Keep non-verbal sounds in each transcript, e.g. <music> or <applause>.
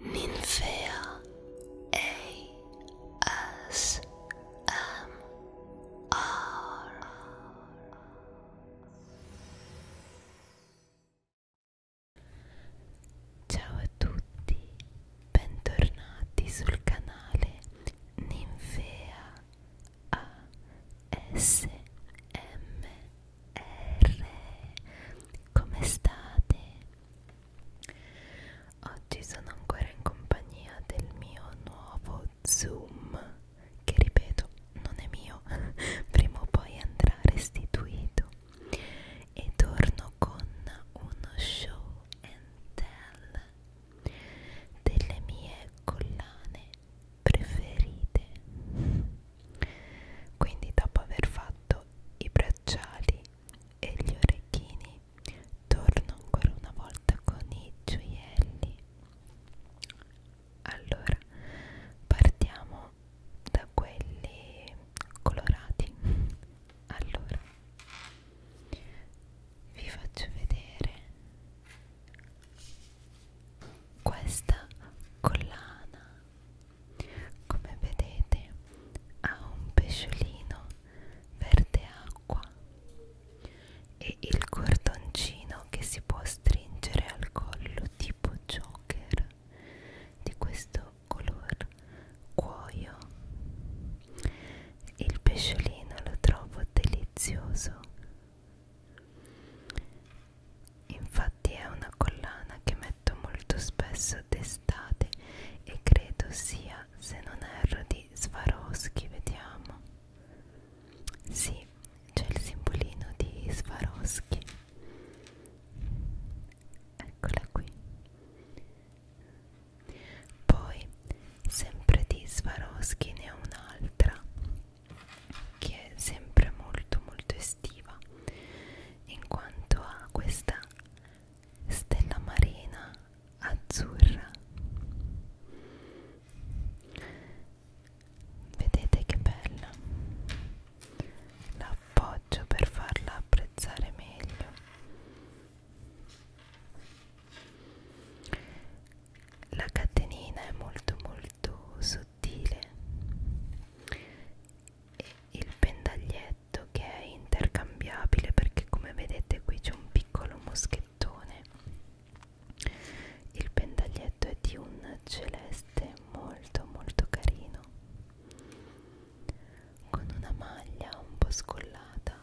Ninfea ASMR Ciao a tutti, bentornati sul canale Ninfea ASMR R come state? Oggi sono ancora in compagnia del mio nuovo Zoom che ripeto non è mio, <laughs> prima o poi andrà restituito e torno con uno show and tell delle mie collane preferite quindi dopo aver fatto i bracciali e gli orecchini torno ancora una volta con i gioielli. Allora partiamo da quelli colorati. Allora vi faccio vedere questa collana come vedete ha un pesciolino verde acqua e il cordoncino che si può stringere al collo tipo joker di questo color cuoio. Il pesciolino lo trovo delizioso Infatti è una collana che metto molto spesso d'estate e credo sia, se non erro, di Swarovski, vediamo. Sì, c'è il simbolino di Swarovski. Eccola qui. Poi, sempre di Swarovski ne ho un'altra che è sempre molto molto estiva in quanto ha questa stella marina azzurra vedete che bella l'appoggio per farla apprezzare meglio la catenina è molto molto sottile e il pendaglietto che è intercambiabile perché come vedete qui c'è un piccolo moschettone il pendaglietto è di un celeste molto molto carino con una maglia un po' scollata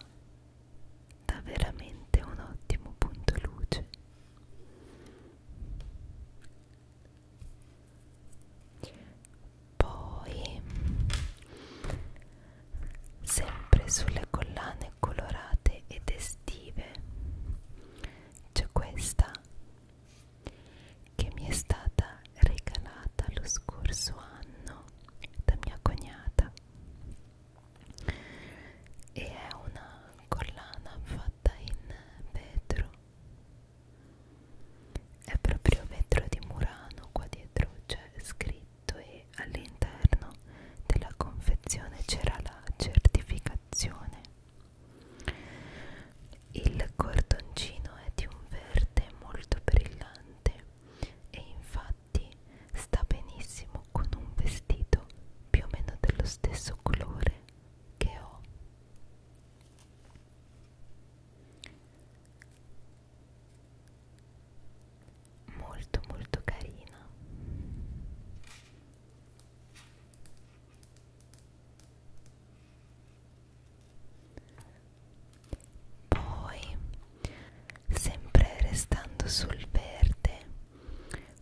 dà veramente un ottimo punto luce poi sempre sulle collane colorate ed estive c'è questa che mi è stata regalata lo scorso anno da mia cognata e è una collana fatta in vetro è proprio vetro di Murano qua dietro c'è scritto e all'interno della confezione c'era la certificazione il cordoncino è di un verde molto brillante e infatti sta benissimo con un vestito più o meno dello stesso colore che ho molto molto carina poi sempre restando sul verde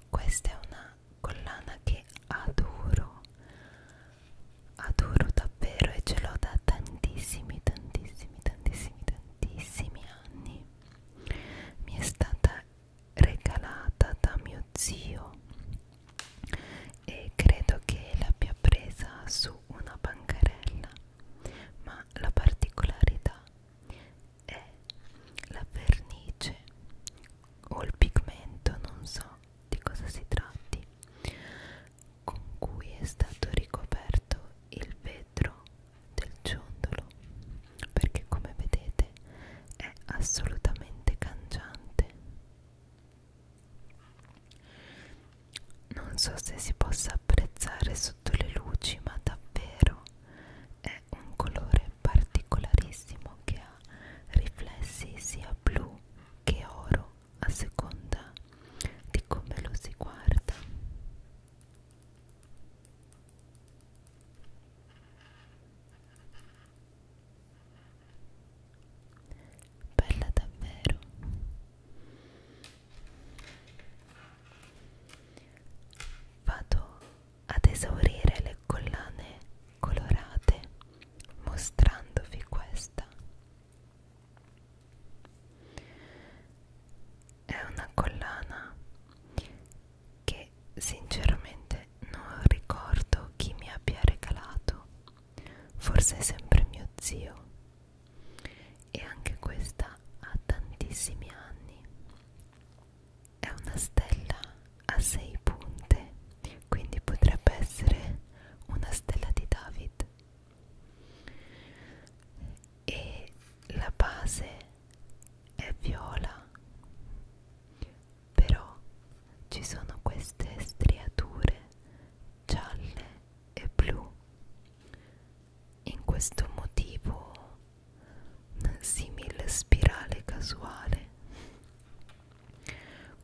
questa è una una collana che adoro adoro davvero e ce l'ho da tantissimi tantissimi tantissimi tantissimi anni mi è stata regalata da mio zio e credo che l'abbia presa su una bancarella ma la particolarità è la vernice o il pigmento non so di cosa si tratti, con cui è stato ricoperto il vetro del ciondolo, perché come vedete è assolutamente cangiante. Non so se si possa apprezzare sotto le luci, ma davvero è un colore particolarissimo che ha riflessi sia blu che oro a seconda di come lo si guarda bella davvero vado ad esaurire le collane colorate mostrandovi questa. È una collana che sinceramente non ricordo chi mi abbia regalato, forse sempre mio zio. E anche questa ha tantissimi anni. È una stella a 6 punte quindi potrebbe essere una stella di David e la base è viola però ci sono queste striature gialle e blu in questo motivo simile spirale casuale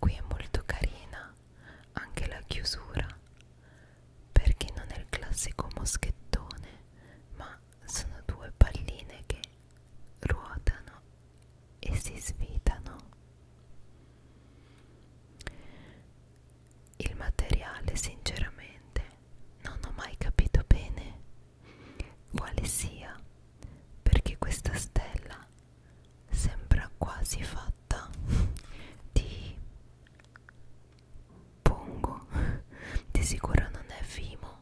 Qui è molto carina anche la chiusura perché non è il classico moschettone, ma sono due palline che ruotano e si svitano. Il materiale, sinceramente, non ho mai capito bene quale sia perché questa stella ora sembra quasi fatta di pongo <laughs> di sicuro non è vimo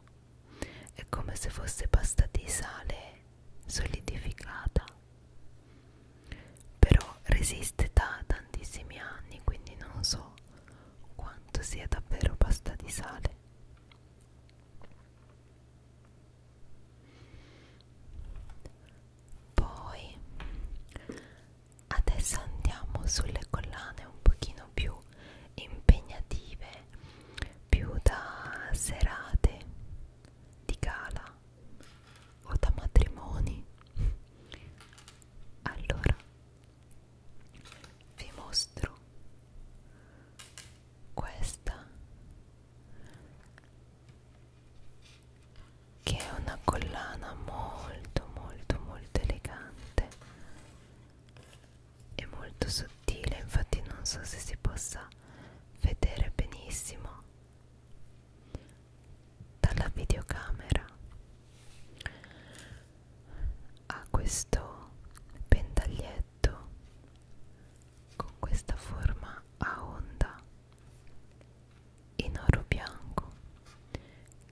è come se fosse pasta di sale solidificata però resiste da tantissimi anni quindi non so quanto sia davvero pasta di sale poi adesso andiamo sulle collane un pochino più impegnative più da serate di gala o da matrimoni allora vi mostro questa che è una collana molto molto molto elegante e molto sottile infatti non so se si possa vedere benissimo dalla videocamera ha questo pentaglietto con questa forma a onda in oro bianco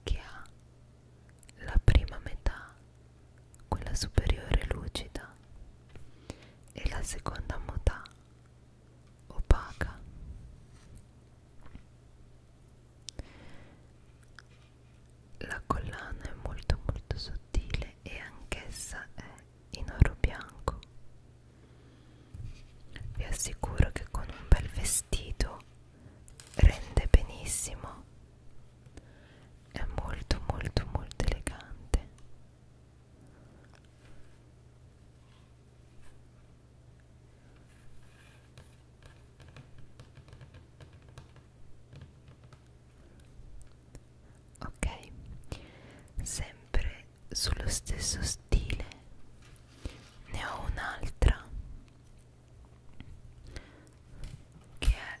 che ha la prima metà, quella superiore lucida e la seconda metà opaca. La collana è molto molto sottile grande e anch'essa è in oro bianco. Vi assicuro che con un bel vestito rende benissimo. È molto molto molto elegante ok sempre sullo stesso stile ne ho un'altra che è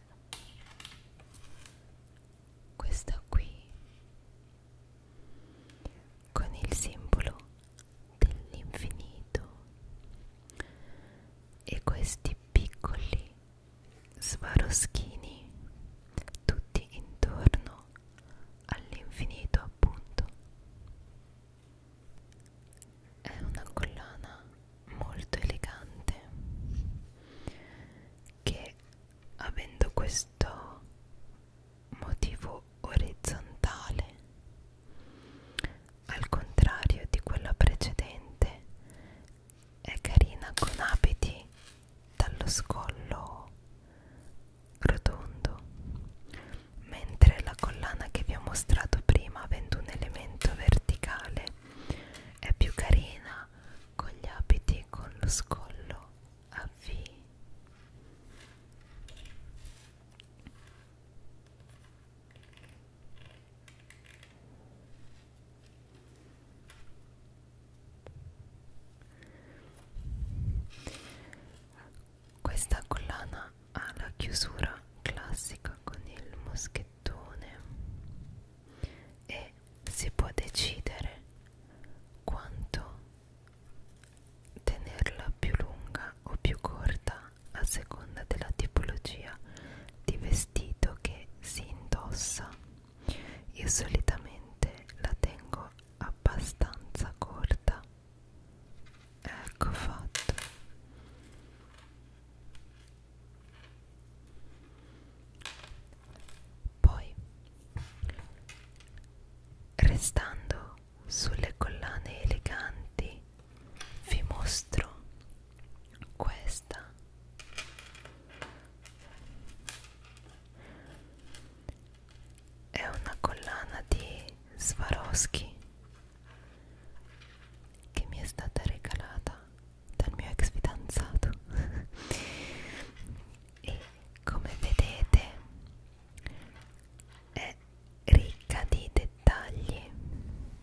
questa qui con il simbolo dell'infinito e questi piccoli Svaroschini, tutti intorno all'infinito appunto. È una collana molto elegante che avendo questo motivo orizzontale al contrario di quella precedente è carina con abiti dallo scollo rotondo mentre la collana che vi ho mostrato prima avendo un elemento verticale è più carina con gli abiti con lo scollo a V questa collana ha la chiusura classica con il moschettone e si può decidere quanto tenerla più lunga o più corta a seconda della tipologia di vestito che si indossa io solitamente la tengo abbastanza corta ecco fatto poi restando sulle collane eleganti vi mostro questa è una collana di Swarovski che mi è stata regalata dal mio ex fidanzato <laughs> e come vedete è ricca di dettagli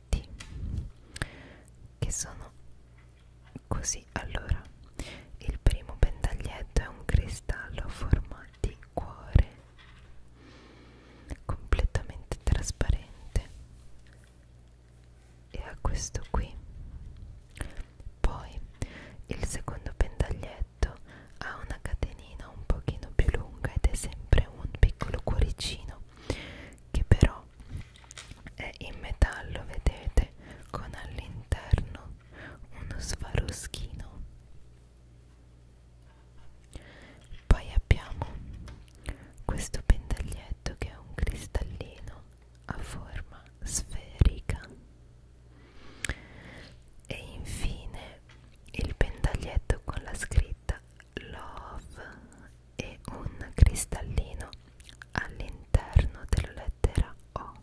paletti che sono così allora il primo pentaglietto è un cristallo a forma di cuore completamente trasparente e ha questo qui poi il secondo pentaglietto ha una catenina un pochino più lunga ed è sempre un piccolo cuoricino che però è in metallo vedete con all'interno uno sfaroschino poi abbiamo questo pendaglietto che è un cristallino a forma sferica e infine il pendaglietto con la scritta love e un cristallino all'interno della lettera O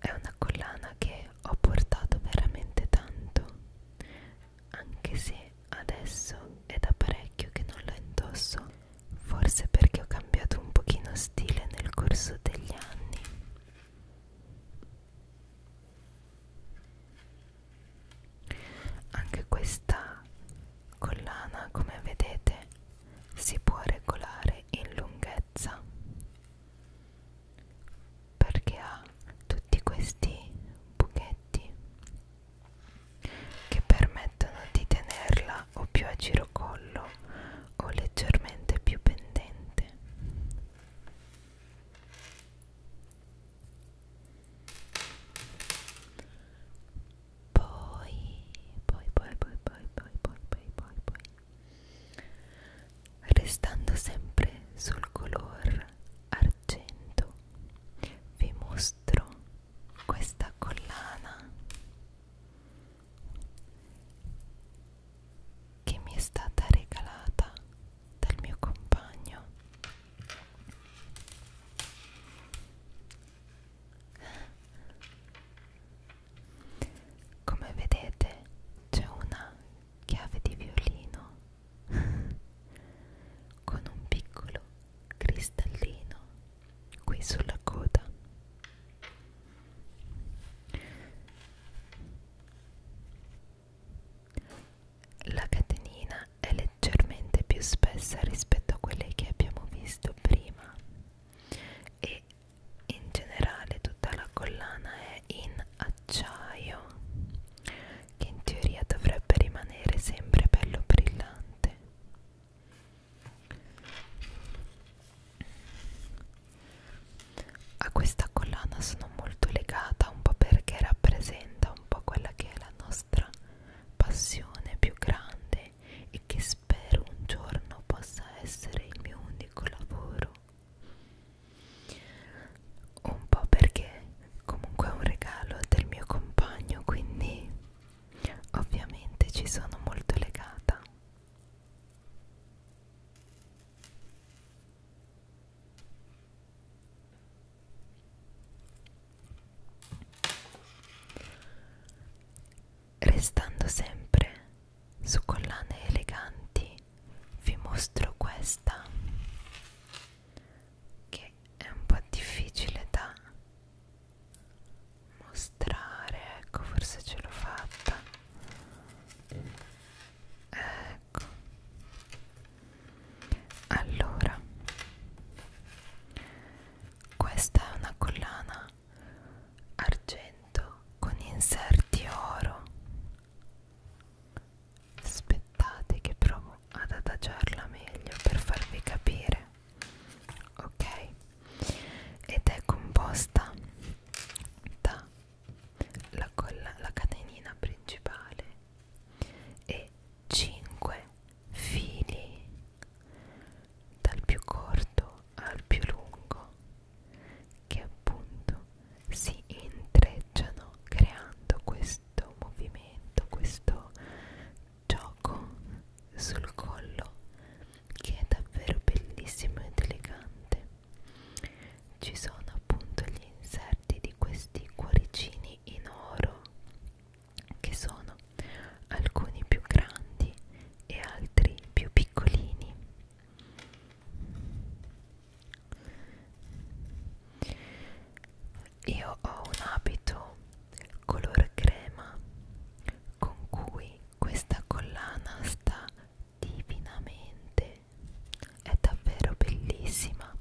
è una collana che ho portato veramente tanto anche se adesso è da parecchio che non la indosso forse perché ho cambiato un pochino stile nel corso degli anni anche questa collana, come vedete, si può regolare in lunghezza perché ha tutti questi buchetti che permettono di tenerla o più a girocollo o leggermente più pendente poi, poi, poi, poi, poi, poi, poi, poi, poi, poi. Restando sempre sul color argento, vi mostro questa collana che mi è stata regalata dal mio compagno come vedete c'è una chiave di violino <laughs> con un piccolo cristallino qui sulla coda la catenina è leggermente più spessa rispetto a quelle che abbiamo visto prima e in generale tutta la collana è in acciaio che in teoria dovrebbe rimanere sempre bello brillante a questa collana sono molto legata un po' perché rappresenta un po' quella che è la nostra passione più grande e che spero un giorno possa essere il mio unico lavoro. Un po' perché comunque è un regalo del mio compagno, quindi ovviamente ci sono molto legata. Restando sempre su collane eleganti, vi mostro questa che è un po' difficile da mostrare, ecco forse ce l'ho fatta ecco allora questa è una collana argento con inserti oro aspettate che provo ad adagiarla meglio per farvi capire ok ed è composta da la, colla, la catenina principale e 5 fili dal più corto al più lungo che appunto si intrecciano creando questo movimento, questo gioco sul collo che è davvero bellissimo ed elegante ci sono appunto gli inserti di questi cuoricini in oro che sono alcuni più grandi e altri più piccolini io ho un abito color crema con cui questa collana sta divinamente veramente è davvero bellissima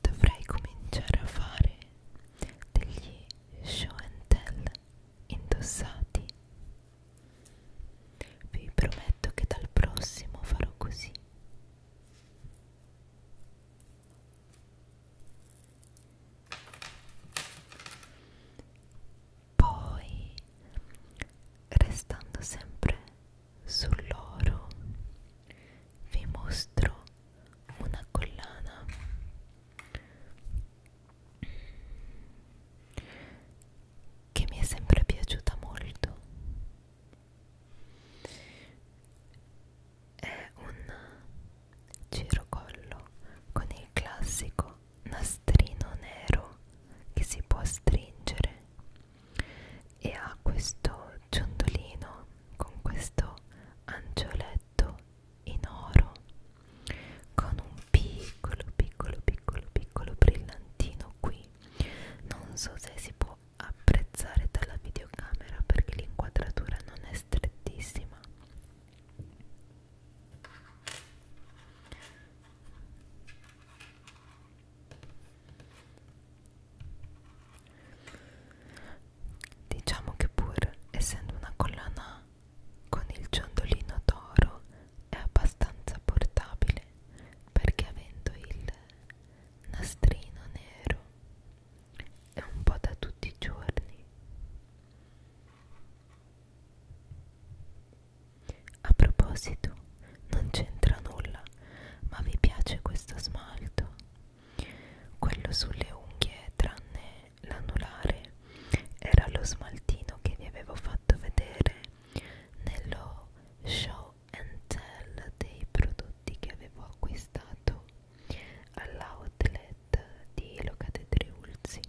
Dovrei cominciare a fare degli show and tell indossati. Vi prometto che dal prossimo farò così. Poi, restando sempre sull'oro, vi mostro una collana che mi è sempre piaciuta molto è un girocollo con il classico nastrino nero che si può stringere e ha questo ciondolino con questo angioletto in oro con un piccolo piccolo piccolo piccolo brillantino qui non so se si può apprezzare dalla videocamera perché l'inquadratura non è strettissima Diciamo che pur essendo una collana con il ciondolino d'oro è abbastanza portabile perché avendo il nastrino nero e un po' da tutti i giorni a proposito non c'entra nulla ma vi piace questo smalto quello sulle unghie tranne l'anulare era lo smaltino che vi avevo fatto vedere nello show Encel dei prodotti che avevo acquistato all'outlet di Locate Triulzi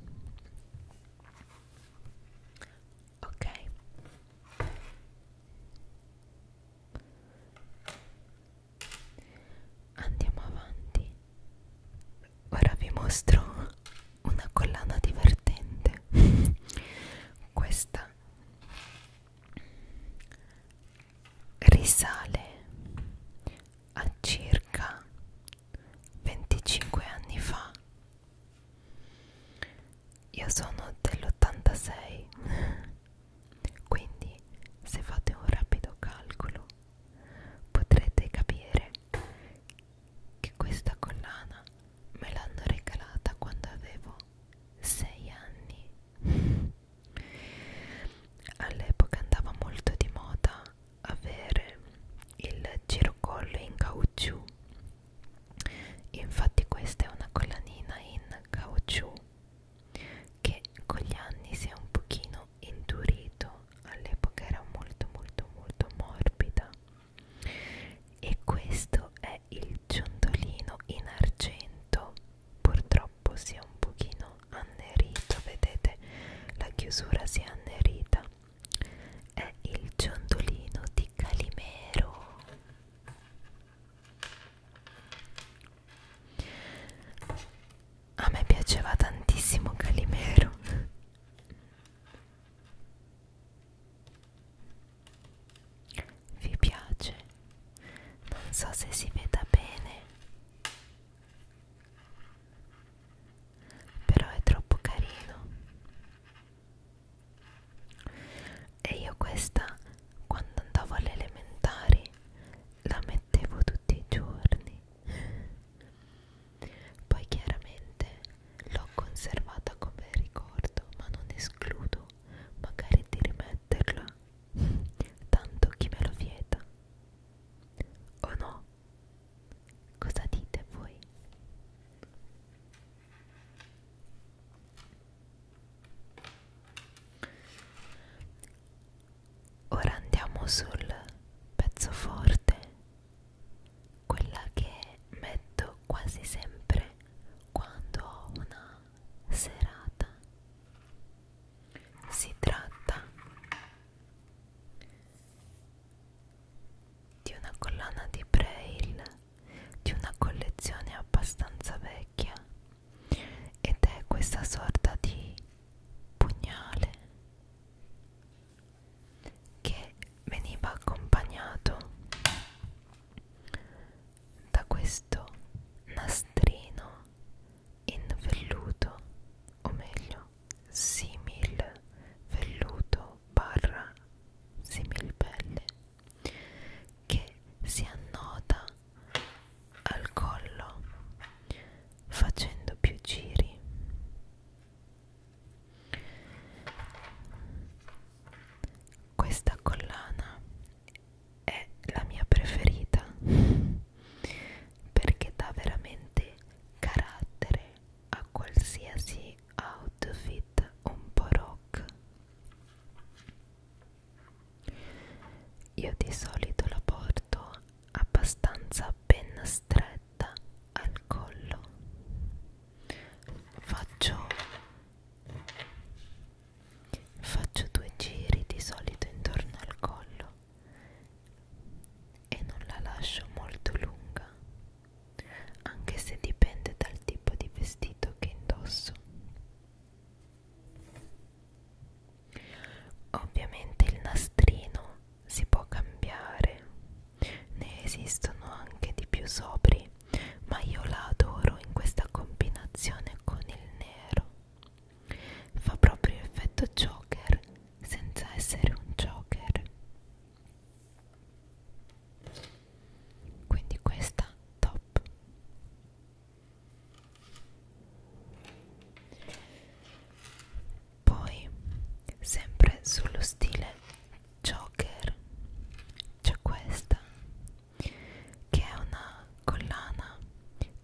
ok andiamo avanti ora vi mostro una collana divertente <laughs> questa risale a circa 25 anni fa io sono dell'86 quindi se fate un rapido calcolo potrete capire che questa collana me l'hanno regalata quando avevo 6 anni all'epoca andava molto di moda avere il girocollo in caucciù infatti questa è una collanina in caucciù che con gli anni si è un pochino indurito all'epoca era molto molto molto morbida e questo è il ciondolino in argento purtroppo si è un pochino annerito vedete la chiusura si è annerita è il ciondolino di Calimero a me piaceva tantissimo Calimero vi piace? Non so se si veda bene, però è troppo carino. E io questa, quando andavo alle elementari, la mettevo tutti i giorni. Poi chiaramente L'ho conservata come ricordo, ma non escludo magari di rimetterla. <laughs> Tanto chi me lo vieta. O no? Cosa dite voi? Ora andiamo sul pezzo forte quella che metto quasi sempre quando ho una serata si tratta di una collana di braille di una collezione abbastanza vecchia ed è questa sorta di pugnale che veniva accompagnato da questo nastrino in velluto o meglio simil velluto barra simil pelle che si annoda al collo facendo più giri questa collana è la mia preferita <laughs> perché dà veramente carattere a qualsiasi outfit un po' rock. Io di solito la porto abbastanza ben stretta al collo faccio faccio due giri di solito intorno al collo e non la lascio molto lunga anche se dipende dal tipo di vestito che indosso ovviamente il nastrino si può cambiare ne esistono anche di più sobri, ma io la adoro in questa combinazione con il nero. Fa proprio effetto Joker senza essere un Joker. Quindi questa top. Poi sempre sullo stile Joker c'è questa che è una collana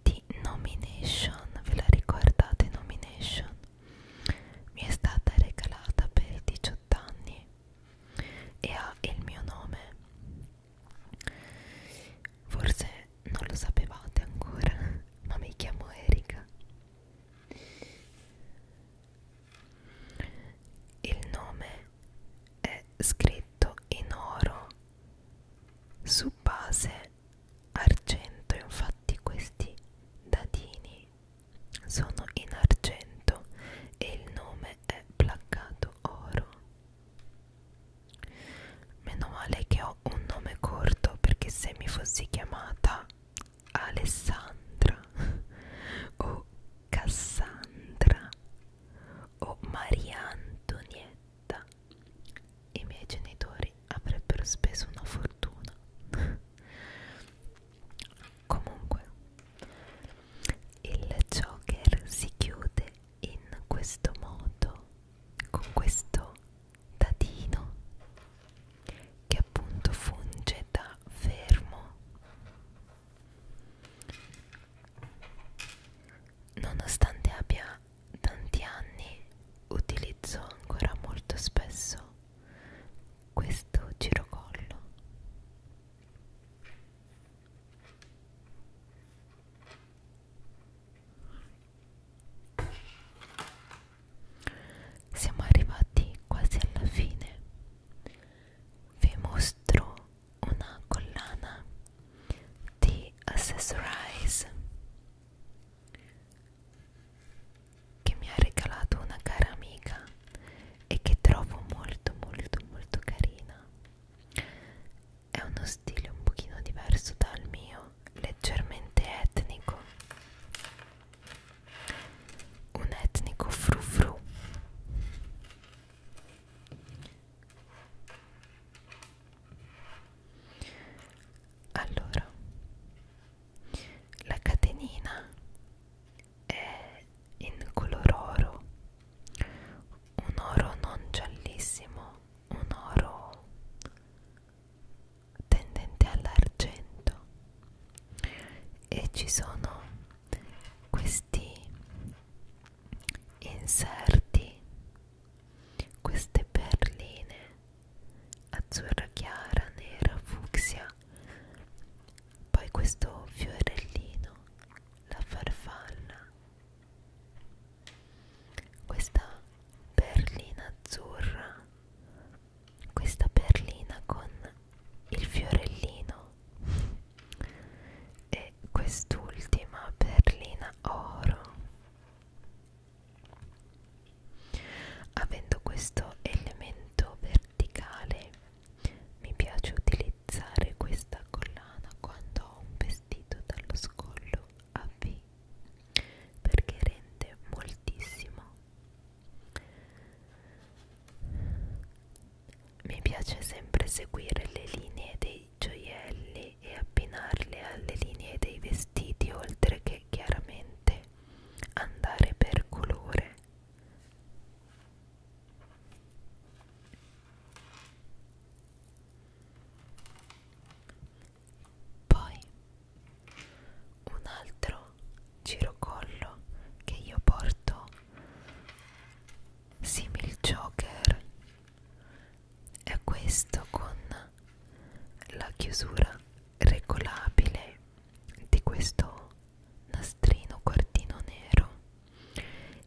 di nomination ve la ricordate nomination mi è stata regalata per 18 anni e ha il mio nome forse non lo sapevate ancora <laughs> ma mi chiamo Erika il nome è scritto in oro su base argento, infatti questi dadini sono in argento e il nome è placcato oro. Meno male che ho un nome corto perché se mi fossi chiamata Alessandra o Cassandra o Maria Antonietta i miei genitori avrebbero speso una fortuna comunque il Joker si chiude in questo modo con questo dadino che appunto funge da fermo nonostante abbia tanti anni utilizzo ancora molto spesso questo girocollo siamo arrivati quasi alla fine. Vi mostro una collana di Accessorize che mi ha regalato una cara amica e che trovo molto molto molto carina. È uno stile un pochino diverso dal mio, leggermente etnico un etnico frufru allora la catenina è in color oro un oro non giallissimo un oro tendente all'argento e ci sono questi inserti queste perline azzurra chiara nera fucsia poi questo fiorellino la farfalla questa perlina azzurra questa perlina con il fiorellino e quest'ultima perlina oro avendo questo elemento verticale mi piace utilizzare questa collana quando ho un vestito dallo scollo a V perché rende moltissimo mi piace sempre seguire le linee dei gioielli e abbinarle alle linee dei vestiti oltre che chiaramente andare per colore. Poi un altro girocollo che io porto simil joker è questo con la chiusura regolabile di questo nastrino quartino nero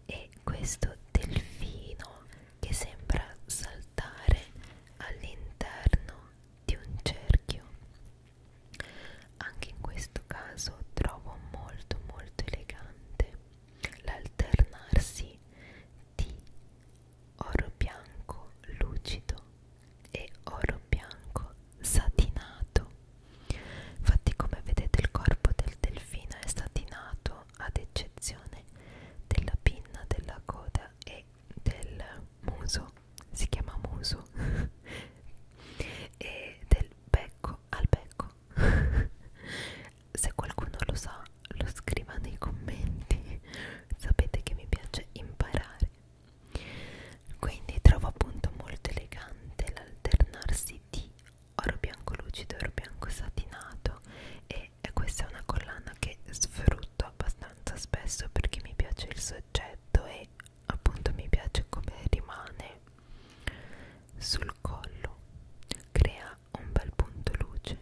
e questo delfino che sembra saltare all'interno di un cerchio anche in questo caso trovo molto molto elegante l'alternarsi di oro bianco lucido e oro bianco satinato. Infatti come vedete il corpo del delfino è satinato ad eccezione della pinna, della coda e del muso si chiama muso <laughs> e del becco al becco <laughs> se qualcuno lo sa lo scriva nei commenti sapete che mi piace imparare quindi trovo appunto molto elegante l'alternarsi di oro bianco lucido oro bianco satinato e questa è una collana che sfrutto abbastanza spesso perché mi piace il suo sacchetto e appunto mi piace come rimane sul collo crea un bel punto luce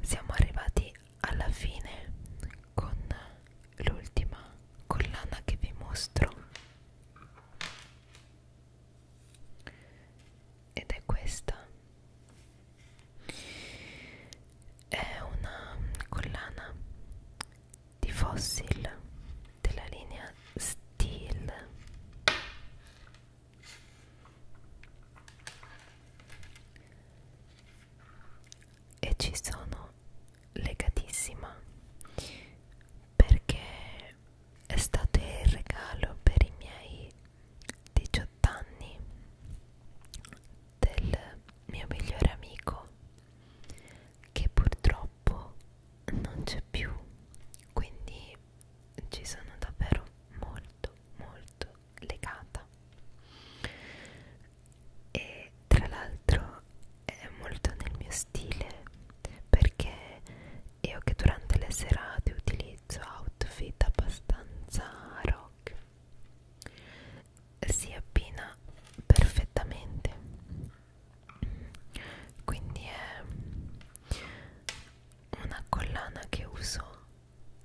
siamo arrivati alla fine con l'ultima collana che vi mostro ed è questa è una collana di fossil della linea Steel e ci sono legatissima perché estate il regalo per i miei 18 anni del mio migliore amico che purtroppo non c'è più quindi ci sono davvero molto molto legata e tra l'altro è molto nel mio stile perché io che durante le serate utilizzo outfit abbastanza rock si abbina perfettamente quindi è una collana che uso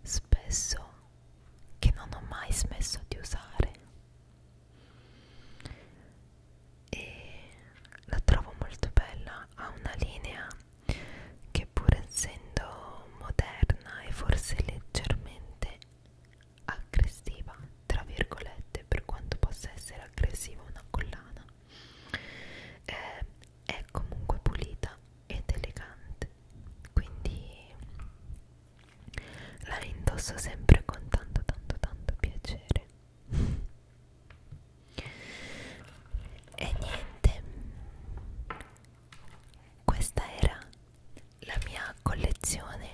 spesso che non ho mai smesso di usare e la trovo molto bella ha una linea che pur essendo moderna e forse leggermente aggressiva tra virgolette per quanto possa essere aggressiva una collana eh, è comunque pulita ed elegante quindi la indosso sempre con tanto tanto tanto piacere e niente questa era la mia collezione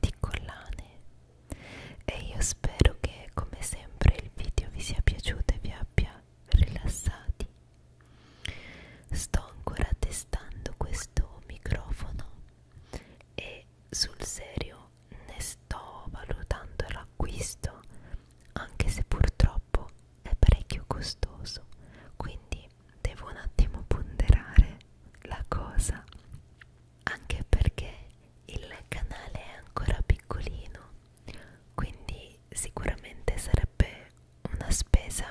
di collane e io spero che come sempre il video vi sia piaciuto e vi abbia rilassati sto ancora testando questo microfono e sul serio ne sto valutando l'acquisto anche se purtroppo è parecchio costoso quindi devo un attimo ponderare la cosa anche perché il canale è ancora piccolino quindi sicuramente sarebbe una spesa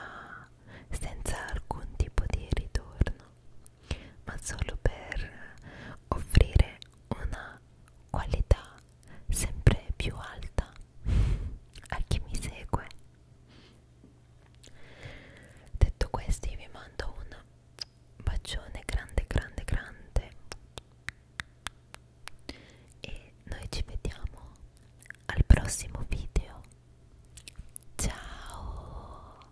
senza alcun tipo di ritorno ma solo per offrire una qualità sempre più alta a chi mi segue detto questo io vi mando un bacione grande grande grande e noi ci vediamo al prossimo video ciao